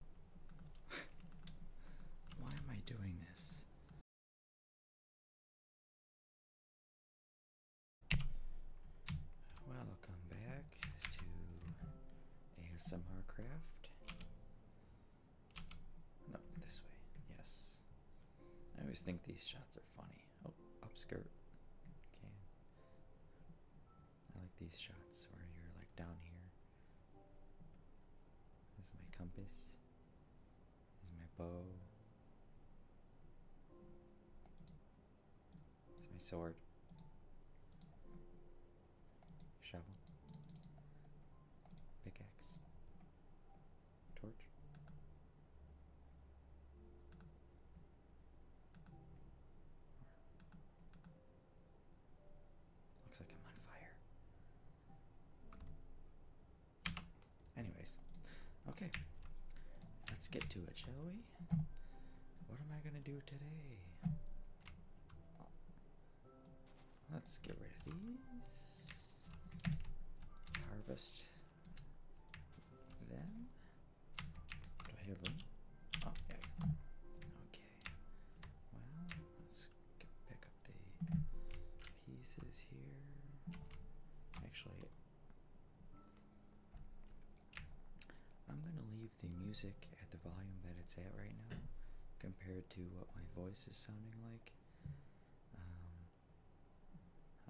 Why am I doing this? Welcome back to ASMR Craft. No, this way, yes. I always think these shots are funny. Oh, upskirt. Okay. I like these shots where you're like down here. This is my compass. This is my bow. This is my sword. Shovel. Pickaxe. Torch. Looks like I'm on fire. Anyways, okay, let's get to it, shall we? What am I gonna do today? Let's get rid of these. Harvest them. Do I have room? Oh, yeah. Well, let's pick up the pieces here. Actually, I'm gonna leave the music at the volume that it's at right now, compared to what my voice is sounding like. Um,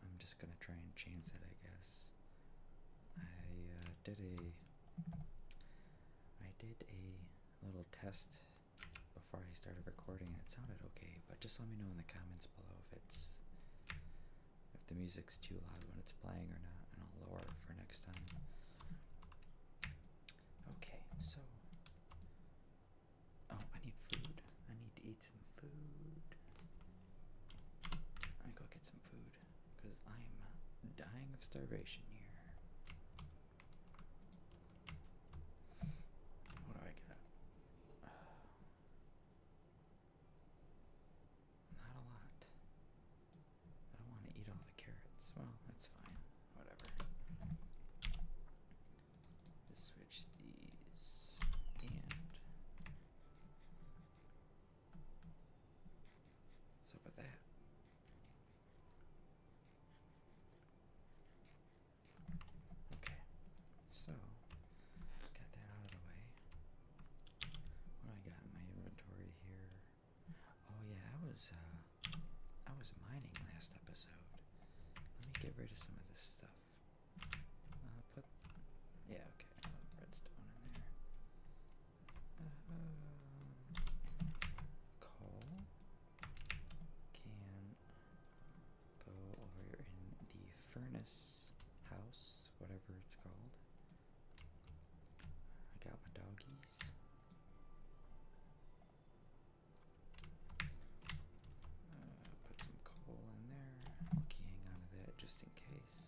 I'm just gonna try and change it, I guess. I uh, did a. I did a little test before I started recording, and it sounded okay. But just let me know in the comments below if it's if the music's too loud when it's playing or not, and I'll lower it for next time. Okay, so oh, I need food. I need to eat some food. Let me go get some food because I'm dying of starvation here. What do I get? not a lot. I don't want to eat all the carrots. Well, that's fine. Whatever. switch these and so about that. Okay, so got that out of the way. What do I got in my inventory here? Oh yeah, I was I uh, was mining last episode. Let me get rid of some of this stuff. Uh, put yeah, okay, redstone in there. Um, can go over in the furnace house, whatever it's called. I got my doggies. Uh, put some coal in there. i hang on that just in case.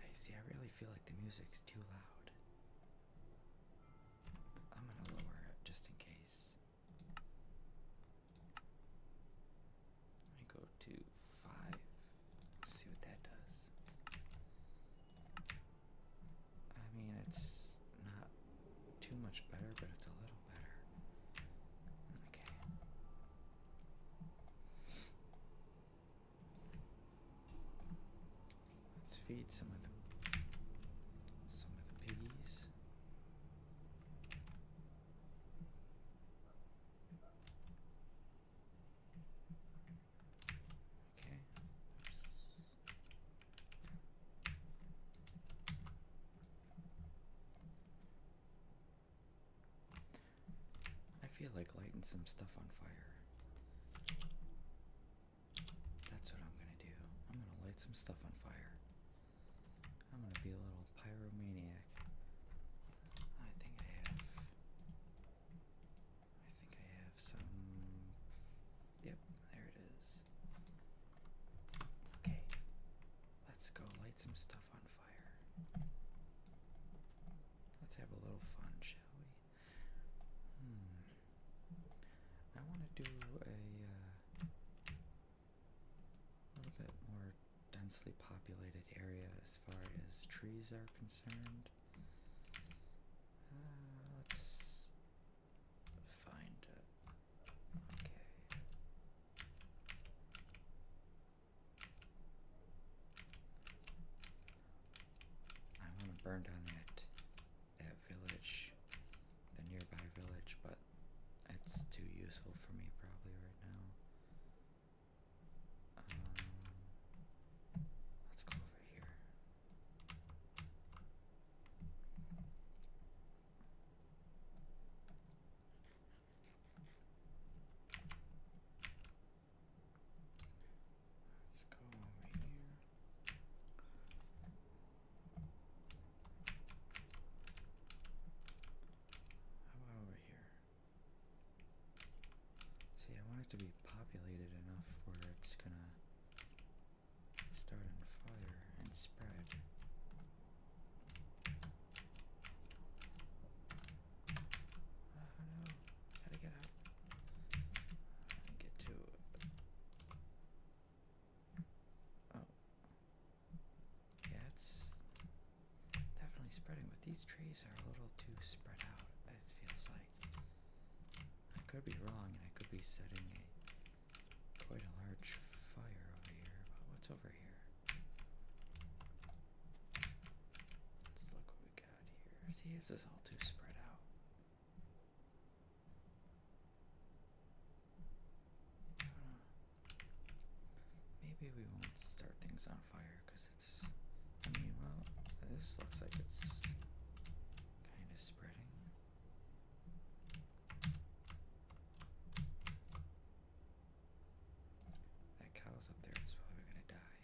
I see, I really feel like the music's too loud. I'm gonna lower it just in case. I go to 5 see what that does. I mean, it's not too much better, but it's a little better. Okay. Let's feed some of the some of the piggies. Okay. I feel like lighting some stuff on fire. That's what I'm gonna do. I'm gonna light some stuff on fire. I'm gonna be a little pyromaniac. I think I have. I think I have some. Yep, there it is. Okay, let's go light some stuff on Let's have a little fun, shall we? Hmm. I want to do uh, a little bit more densely populated area as far as trees are concerned. Uh, let's find it. Okay. I want to burn down that that village, the nearby village, but it's too useful for me probably right now. Um, let's go over here. Let's go over here. How about over here? See, I want it to be populated enough where it's gonna start on fire and spread. Oh no, how to get out? Get to. Oh. Yeah, it's definitely spreading, but these trees are a little too spread out, it feels like. I could be wrong, and I could be setting a quite a large fire over here, but what's over here? Let's look See, this is all too spread out. Maybe we won't start things on fire it's. I mean, well, this looks like it's kind of spreading. That cow's up there, it's probably gonna die.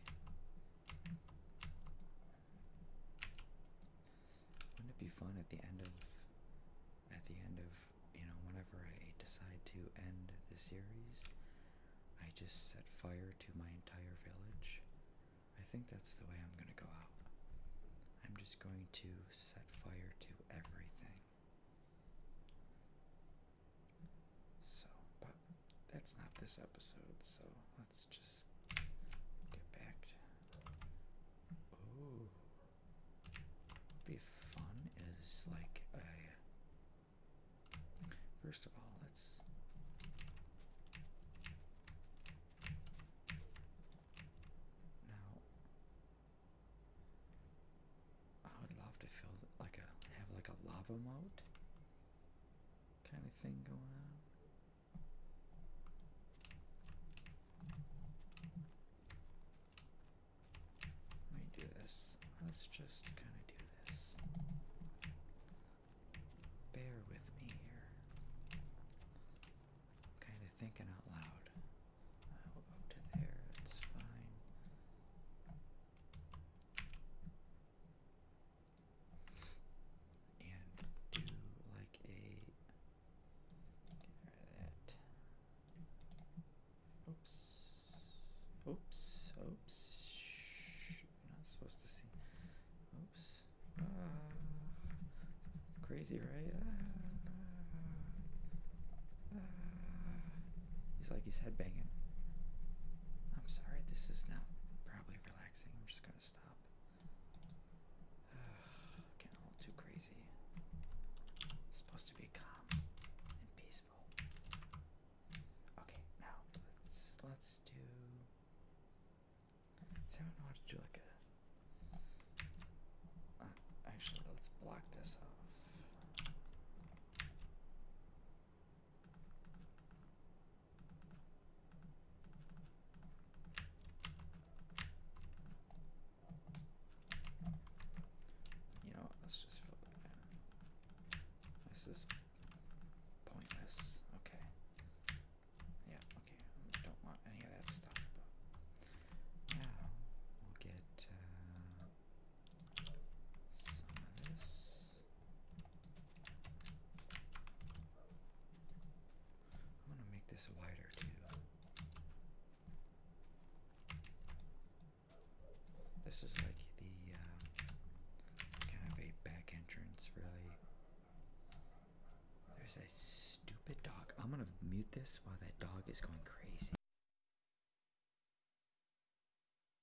Wouldn't it be fun at the end of at the end of you know whenever I decide to end the series, I just set fire to my entire village. I think that's the way I'm gonna go out. I'm just going to set fire to everything. So, that's not this episode, so let's just get back Oh. be fun is like a. First of all, let's. Now. I would love to fill like a have like a lava mode kind of thing going on. Let me do this. Let's just kind of do this. Bear with me here. kind of thinking out loud. I will go to there. It's fine and do like a that. Oops. Oops. Oops. You're not supposed to see. Oops. Ah! crazy, right? Uh, he's like he's headbanging. I'm sorry, this is not probably relaxing. I'm just gonna stop. getting a little too crazy. supposed to be calm and peaceful. Okay, now let's let's do. So I don't know how to do like a. Uh, actually, let's block this off. You know Let's just fill it in. This is pointless. Okay. Yeah, okay. don't want any of that stuff, Yeah, we'll get. Uh, this. I'm going to make this wider too. This is like the um, kind of a back entrance, really. There's a stupid dog. I'm going to mute this while that dog is going crazy.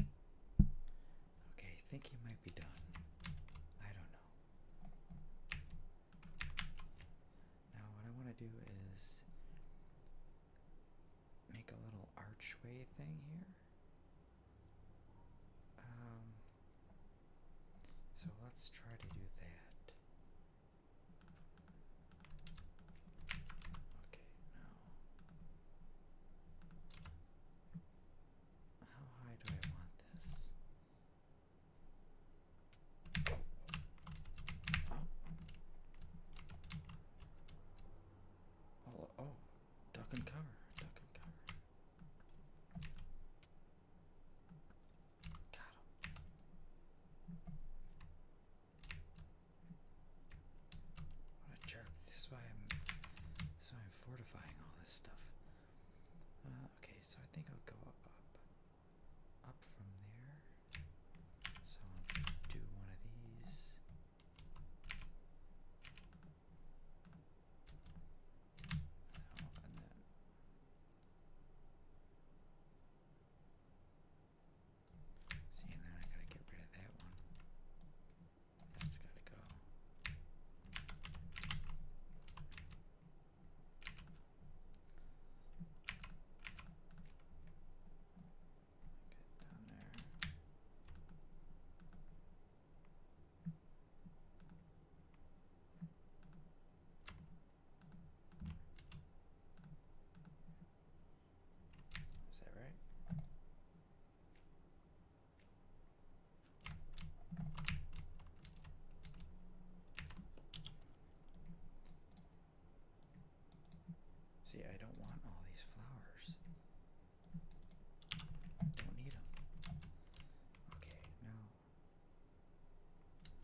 Okay, think you might be done. I don't know. Now, what I want to do is make a little archway thing here. Um, so let's try to do that. Okay, now. How high do I want this? Oh. Oh, Duck and cover. Duck and cover. Got him. What a jerk. This is why I'm so I'm fortifying all this stuff. Uh, okay, so I think I'll go up up from there. So I'll do one of these. and then See, and then I gotta get rid of that one. That's gotta go. Get down there. Is that right? See, I don't want all these flowers. Don't need them. Okay, no.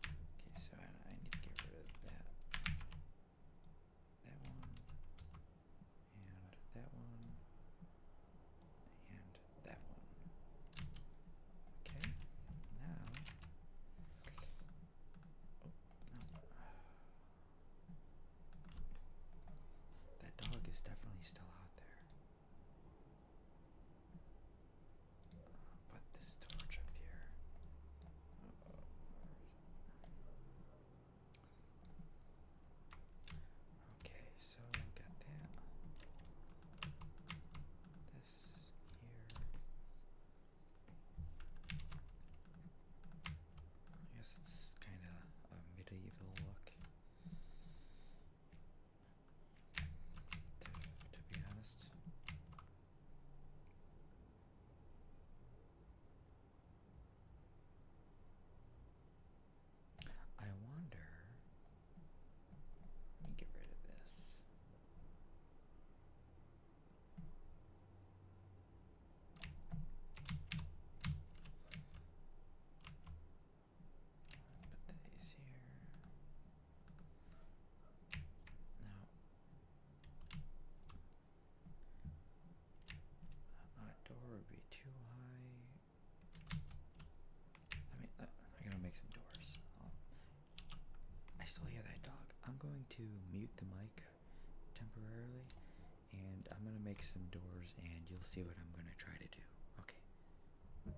Okay, so I, need to get rid of that that one, and that one, and that one. Okay, now. Oh, that dog is definitely still out there. put uh, this torch up here. Okay, so we've got that. This here. I guess it's kind of a medieval look. to be honest. I wonder. Let me get rid of this. Put these here. Now, Door would be too high. I mean, uh, I gotta make some doors. i um, I still hear that dog. I'm going to mute the mic temporarily, and I'm gonna make some doors, and you'll see what I'm gonna try to do. Okay.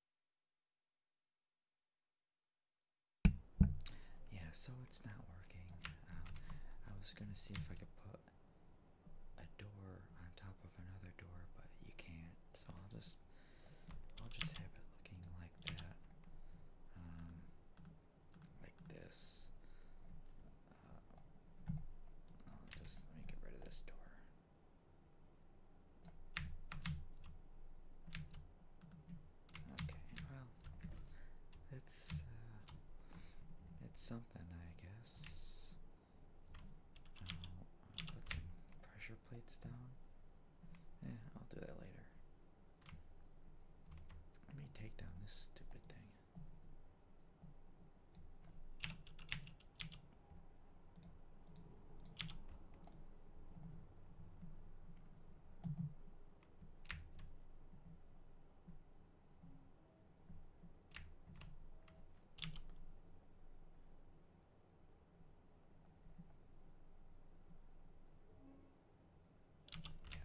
Yeah, so it's not working. Uh, I was gonna see if I could put a door on top of another door, but you can't. So I'll just, I'll just have it looking like that, um, like this. Uh, just let me get rid of this door. Okay, well, it's uh, it's something, I guess. I'll put some pressure plates down. Yeah, I'll do that later. Let me take down this stupid thing.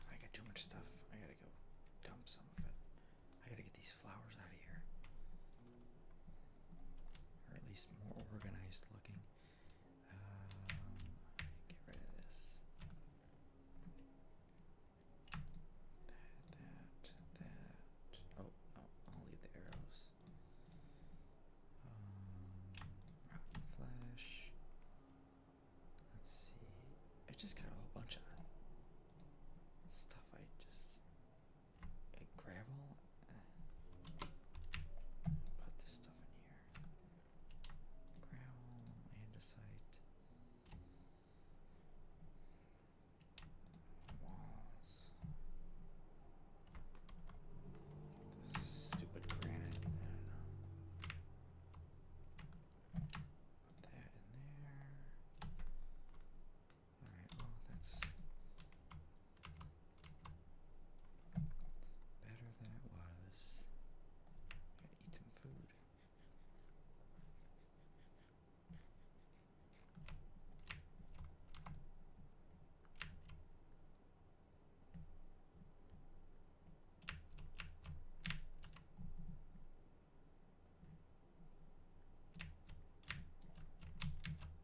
I got too much stuff. I gotta go dump some of it. I gotta get these flowers out of here or at least more organized looking. Um, get rid of this. That, that, that. Oh, oh I'll leave the arrows. Um, Let's see. I just got a whole bunch of stuff I just gravel. Uh, put this stuff in here. Gravel, andesite, walls. stupid granite. Put that in there. All right, well, that's better than it was. Gotta eat some food.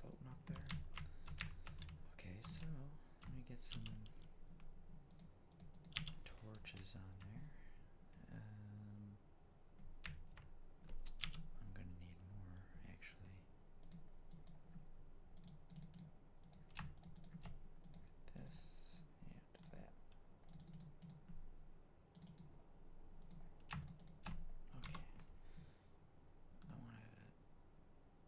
floating up there. Okay, so let me get some torches on there. Um, I'm gonna need more actually. This and that. Okay. I want to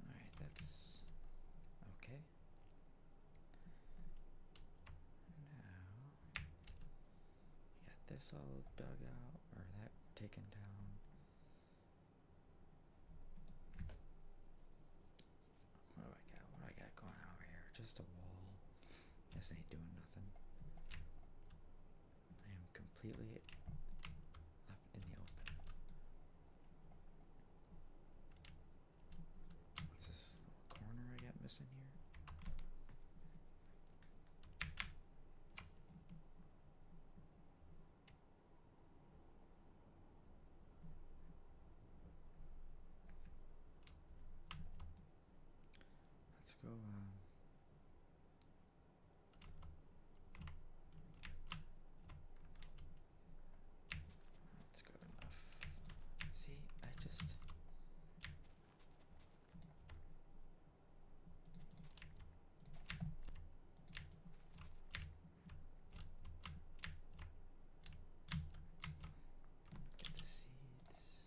Alright, that's okay. Now we got this all dug out or that taken down. What do I got? What do I got going on here? Just a wall. This ain't doing nothing. I am completely left in the open. What's this corner I got missing here? Let's go, um, Let's enough. See, I just Get the seeds.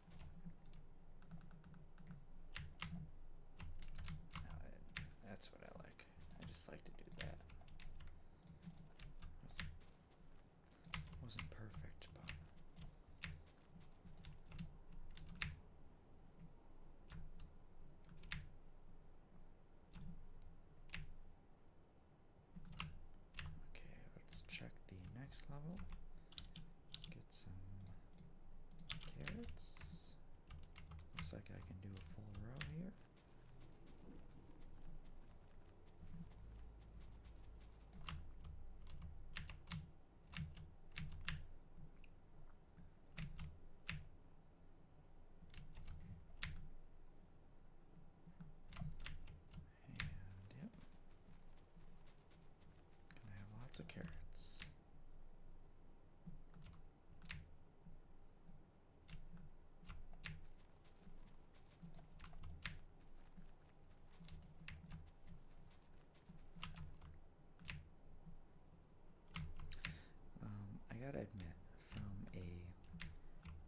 that's what I like. I just like to do that. Wasn't, wasn't perfect, but. Okay, let's check the next level some carrots. Looks like I can do a full row here. And yep. I have lots of carrots. Um, I gotta admit, from a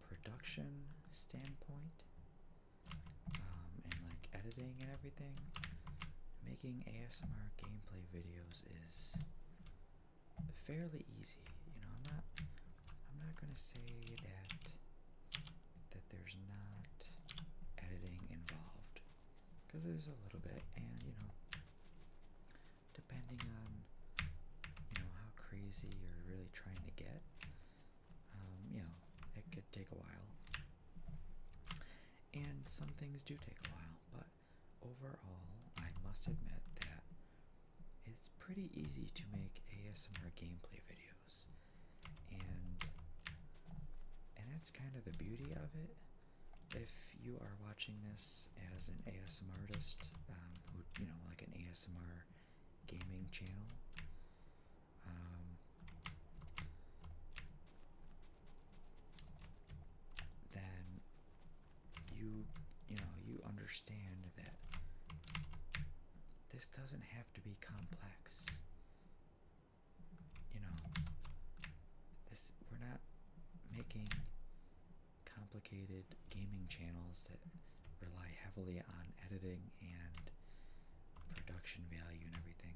production standpoint, um, and like editing and everything. Making ASMR gameplay videos is fairly easy. You know, I'm not. I'm not gonna say that that there's not editing involved, because there's a little bit, and you know, depending on you know how crazy you're really trying to get, um, you know, it could take a while and some things do take a while, but overall, I must admit that it's pretty easy to make ASMR gameplay videos, and and that's kind of the beauty of it. If you are watching this as an ASMR artist, um, who you know, like an ASMR gaming channel, um, then you you know you understand that this doesn't have to be complex. You know, this we're not making complicated gaming channels that rely heavily on editing and production value and everything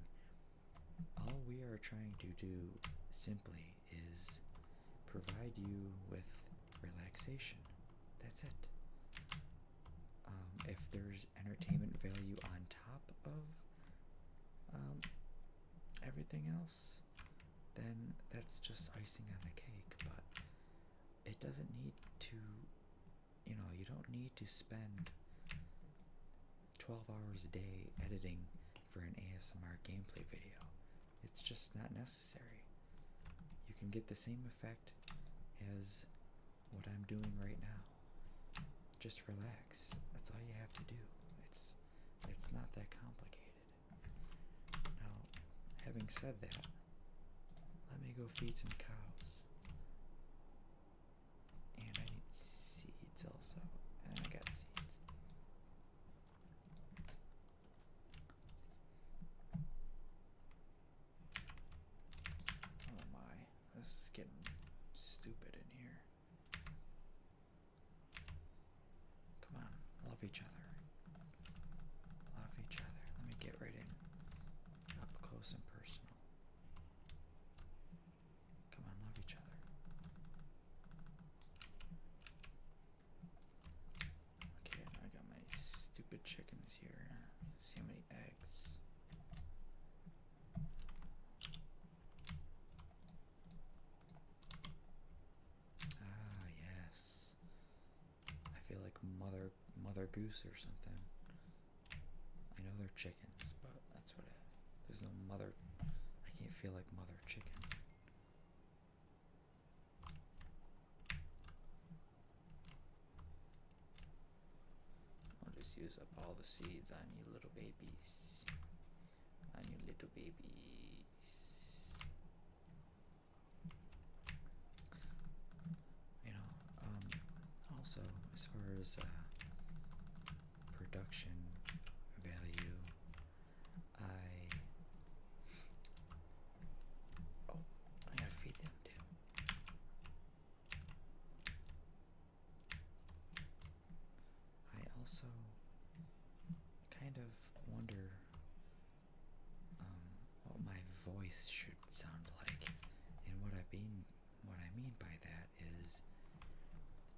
all we are trying to do simply is provide you with relaxation. That's it. Um, if there's entertainment value on top of um, everything else, then that's just icing on the cake, but it doesn't need to you know, you don't need to spend 12 hours a day editing for an ASMR gameplay video. It's just not necessary. You can get the same effect as what I'm doing right now. Just relax. That's all you have to do. It's it's not that complicated. Now, having said that, let me go feed some cows. And I need seeds also. And I got seeds. Oh my, this is getting stupid in here. Come on, love each other. Love each other. Let me get right in. Up close and personal. Come on, love each other. Okay, I got my stupid chickens here. see how many eggs. Ah, yes. I feel like mother mother goose or something. I know they're chickens, but that's what it There's no mother. I can't feel like mother chicken. I'll just use up all the seeds I need little babies. On you little babies. You know, um, also, as far as uh, production value, I. Oh, I gotta feed them too. I also kind of wonder um, what my voice should sound like, and what I mean, what I mean by that is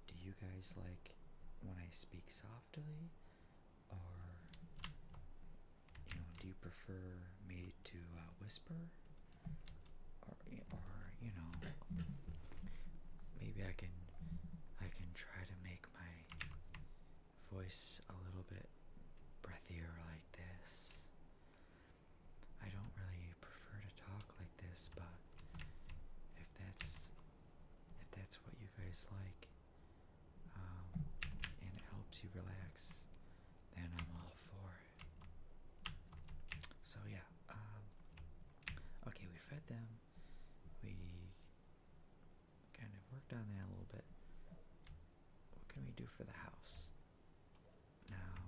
do you guys like when I speak softly or you know do you prefer me to uh, whisper or or you know maybe I can I can try to make my voice a little bit breathier like this I don't really prefer to talk like this, but if that's if that's what you guys like um, and it helps you relax, then I'm all for it. So yeah, um, okay, we fed them. We kind of worked on that a little bit. What can we do for the house? Now,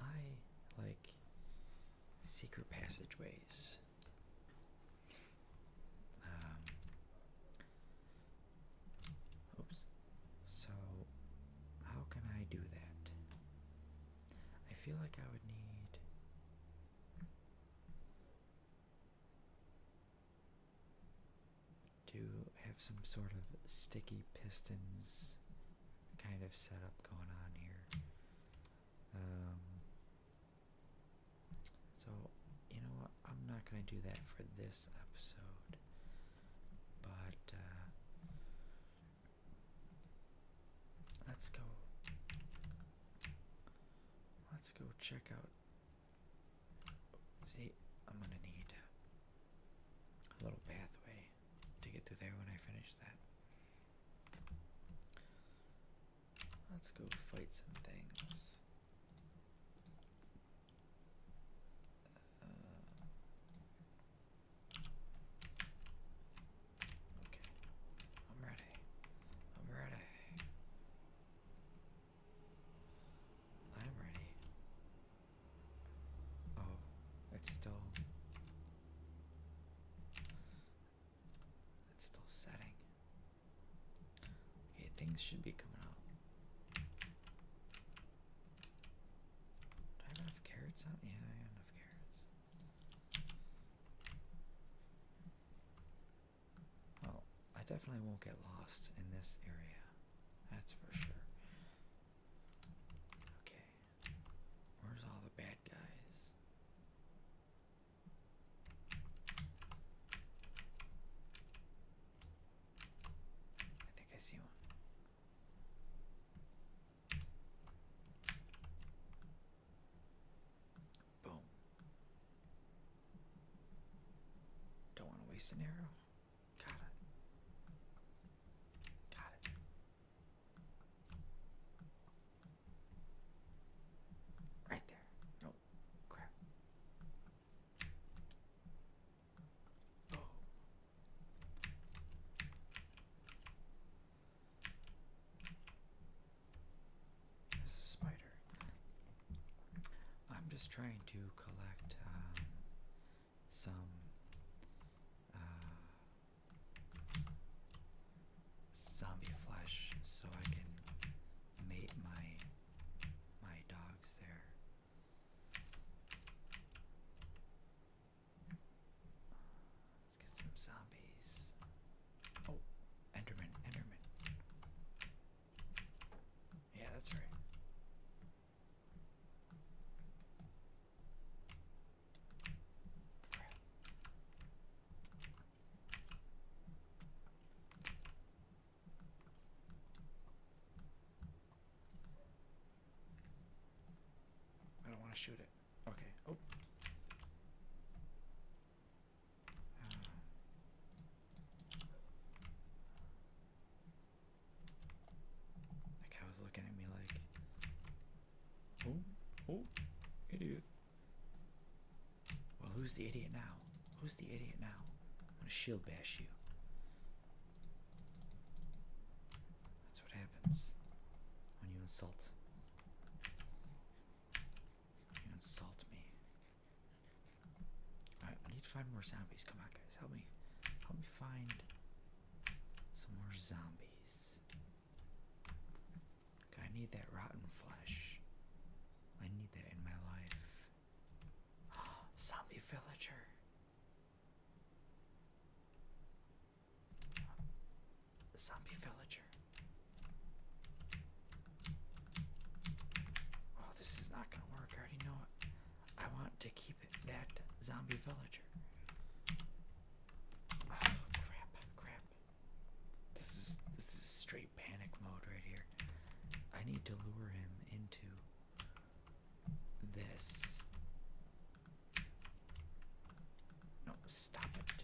I like secret passageways. Um, oops. So, how can I do that? I feel like I would need. Do have some sort of sticky pistons kind of setup going on here. Um, so, you know what? I'm not going to do that for this episode. But, uh, let's go. Let's go check out. See, I'm going to need a little pathway to get through there when I finish that. Let's go fight some things. Uh, okay, I'm ready. I'm ready. I'm ready. Oh, it's still it's still setting. Okay, things should be coming up. Do I have enough carrots Yeah, I have enough carrots. Oh, I definitely won't get lost in this area. That's for sure. Okay. Where's all the bad guys? I think I see one. Boom. Don't want to waste an arrow. Got it. Got it. Right there. Nope. Crap. Oh. There's a spider. I'm just trying to collect um, some uh, zombie flesh so I can mate my my dogs there. Let's get some zombies. Oh, Enderman, Enderman. Yeah, that's right. I don't want to shoot it. Okay. Oh. Uh. The cow's looking at me like, oh, oh, idiot. Well, who's the idiot now? Who's the idiot now? I'm gonna shield bash you. That's what happens when you insult. You insult me. Alright, we need to find more zombies. Come on, Help me, help me find some more zombies. I need that rotten flesh. I need that in my life. zombie villager. Zombie villager. Oh, this is not gonna work. I already know it. I want to keep that zombie villager. Oh, crap, crap. This is this is straight panic mode right here. I need to lure him into this. No, stop it.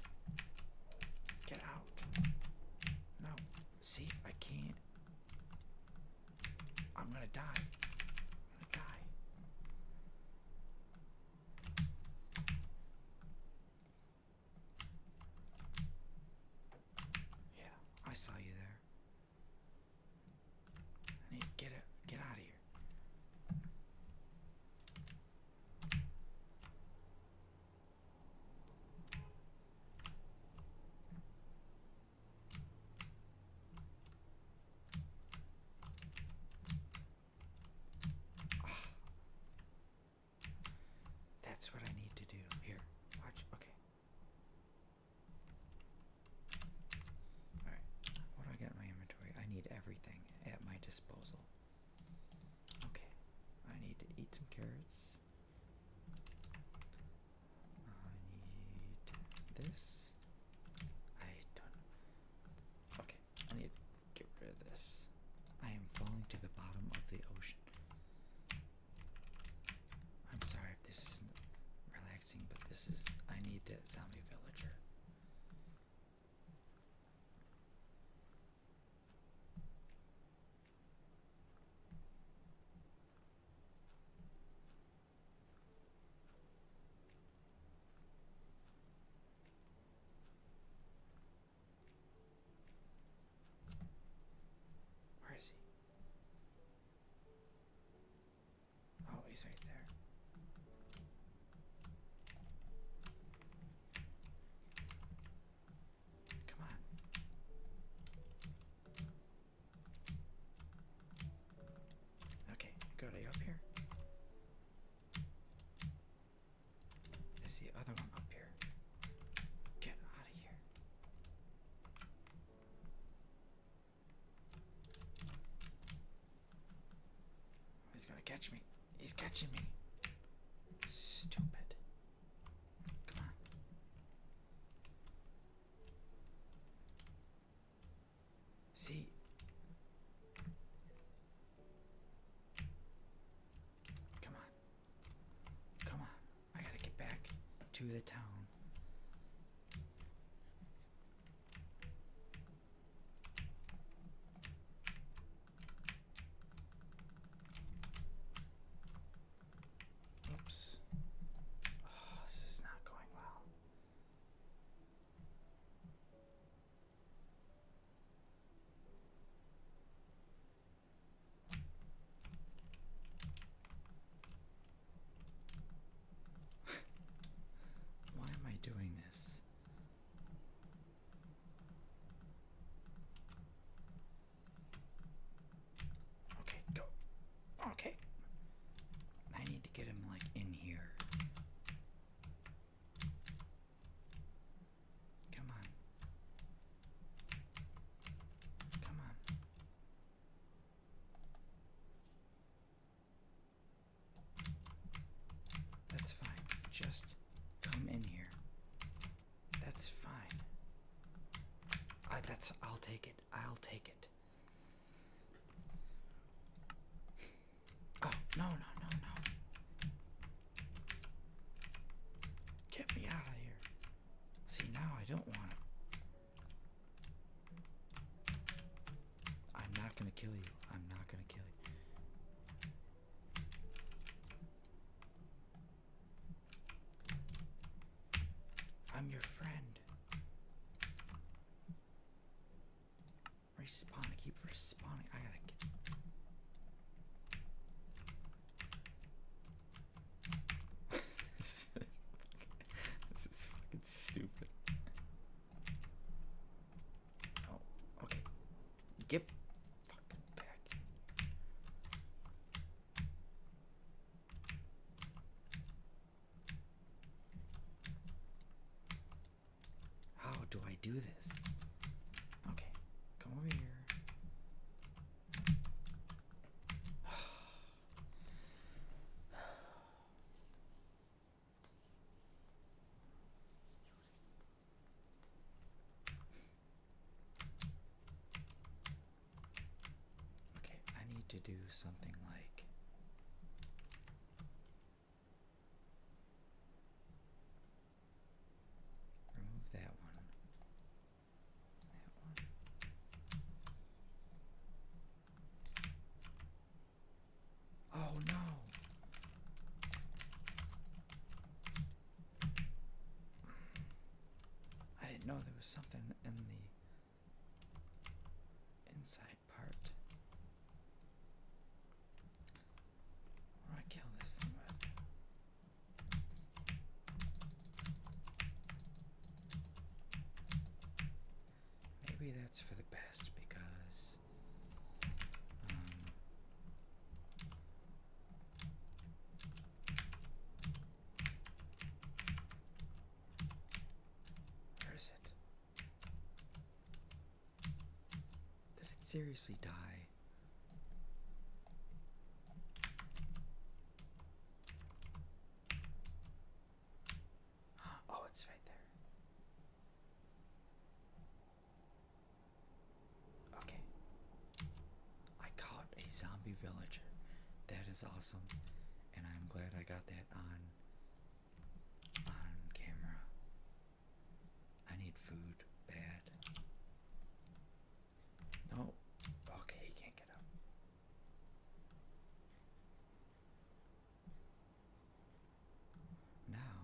Get out. No. See, I can't. I'm gonna die. I'm gonna die. Yeah, I saw you there. get it. Get out of here. That's what I need to do. Here, watch. Okay. Alright, what do I got in my inventory? I need everything at my disposal. Okay, I need to eat some carrots. I need this. I don't. Okay, I need get rid of this. I am falling to the bottom of the ocean. I'm sorry if this isn't relaxing, but this is. I need the zombie villager. Where is he? Oh, he's right there. Come on. Okay, got it up here. There's the other one up here. Get out of here. He's gonna catch me. He's catching me. Stupid. Come on. See, come on, come on. I gotta get back to the town. Oops. Oh, this is not going well. Why am I doing this? Okay, go. Okay. I need to get him like in here. Come on. Come on. That's fine. Just come in here. That's fine. Uh, that's I'll take it. I'll take it. Oh, no, no, no, no. Get me out of here. See, now I don't want it. I'm not gonna kill you. I'm not gonna kill you. I'm your friend. Respawn, I keep respawning. I gotta get. this, is this is fucking stupid. Oh, okay. Get fucking back. How do I do this? Okay, come over here. Okay, I need to do something like remove that one. That one. Oh no. I didn't know there was something in the inside part. I kill this thing Maybe that's for the best because um, where is it? Did it seriously die? Oh, it's right there. Okay. I caught a zombie villager. That is awesome and I'm glad I got that on on camera. I need food bad. No, okay, he can't get up. Now,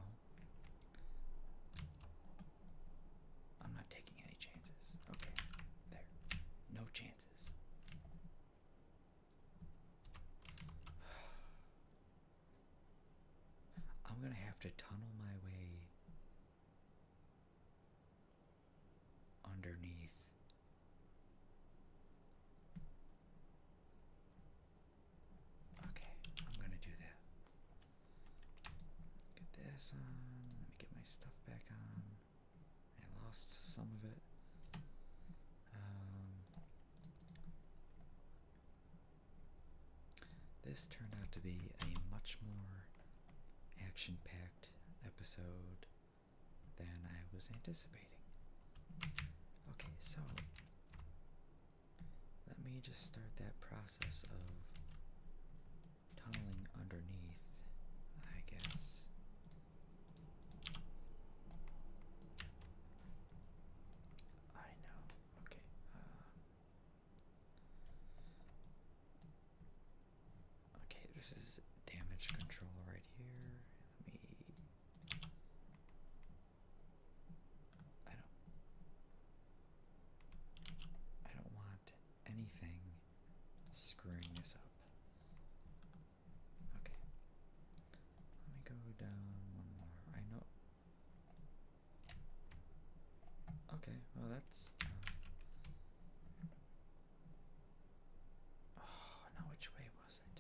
I'm not taking any chances. Okay, there. No chances. I'm going to have to tunnel my way underneath. Okay, I'm going to do that. Get this on. Let me get my stuff back on. I lost some of it. Um, this turned out to be a much more action packed episode than I was anticipating. Okay, so let me just start that process of tunneling underneath, I guess. I know. Okay. Uh, okay, this is damage control right here. Let me. I don't. I don't want anything screwing this up. Okay. Let me go down one more. I know. Okay, well, that's. Uh, oh, now which way was it?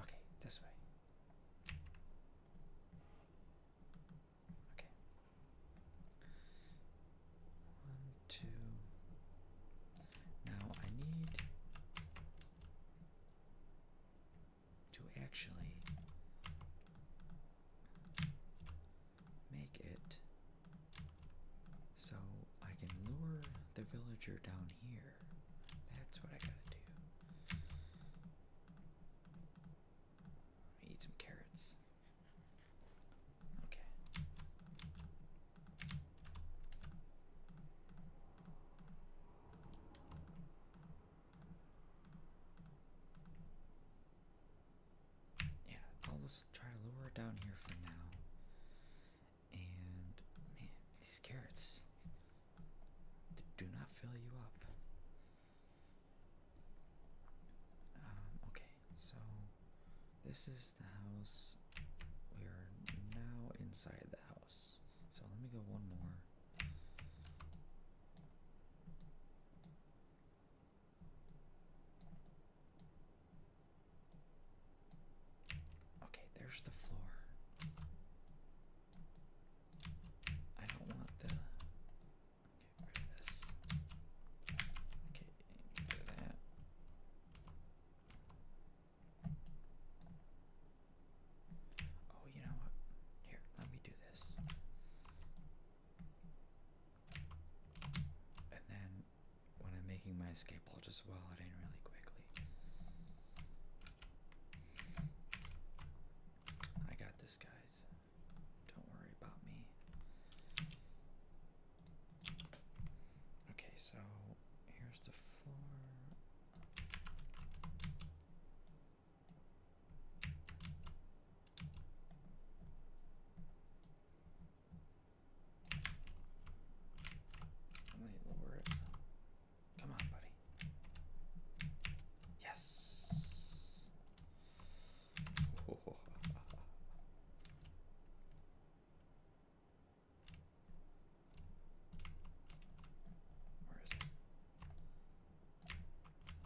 Okay, this way. Okay. One, two. Now I need to actually make it so I can lure the villager down here. That's what I gotta do. eat some carrots. Okay. Yeah, I'll just try to lower it down here for now. And man, these carrots they do not fill you up. Um, okay, so this is the house. We are now inside the house. So let me go one more. Okay, there's the floor. I don't want the. Oh, you know what? Here, let me do this. Oh, and then when I'm making my escape, I'll just well it in really quickly. I got this, guys. Don't worry about me. Okay, so here's the floor. I might lower it. Come on, buddy. Yes. Where is it?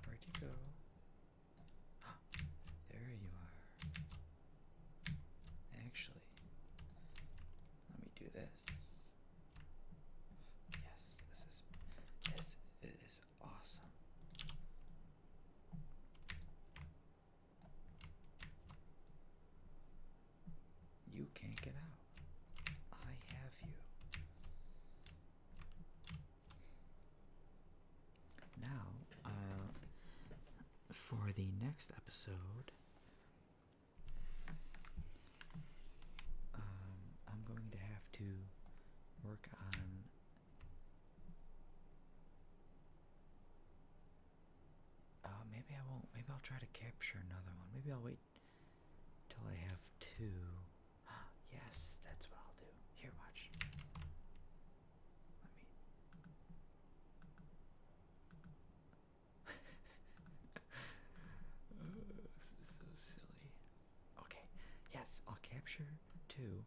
Where'd you go? Ah, there you are. Actually, let me do this. Yes, this is this is awesome. You can't get out. I have you. Now, uh, for the next episode, um, I'm going to have to work on uh, maybe I won't. Maybe I'll try to capture another one. Maybe I'll wait till I have two. yes, that's what I'll do. Here, watch. Let me. Oh, this is so silly. Okay, yes, I'll capture two,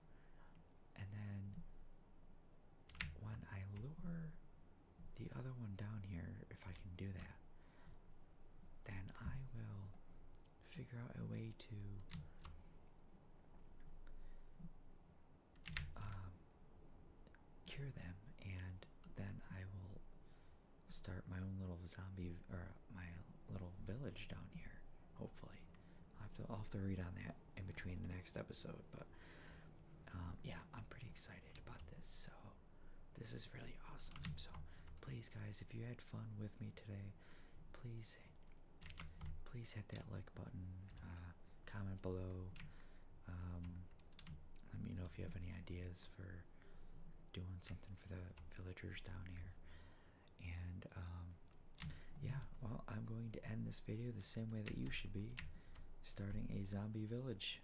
and then when I lure the other one down here, if I can do that, then I will figure out a way to um, cure them, and then I will start my own little zombie or my little village down here, hopefully. I will have to read on that in between the next episode, but um, yeah, I'm pretty excited about this. So this is really awesome. So please, guys, if you had fun with me today, please, please hit that like button. Uh, comment below. Um, let me know if you have any ideas for doing something for the villagers down here. And um, yeah, well, I'm going to end this video the same way that you should be starting a zombie village.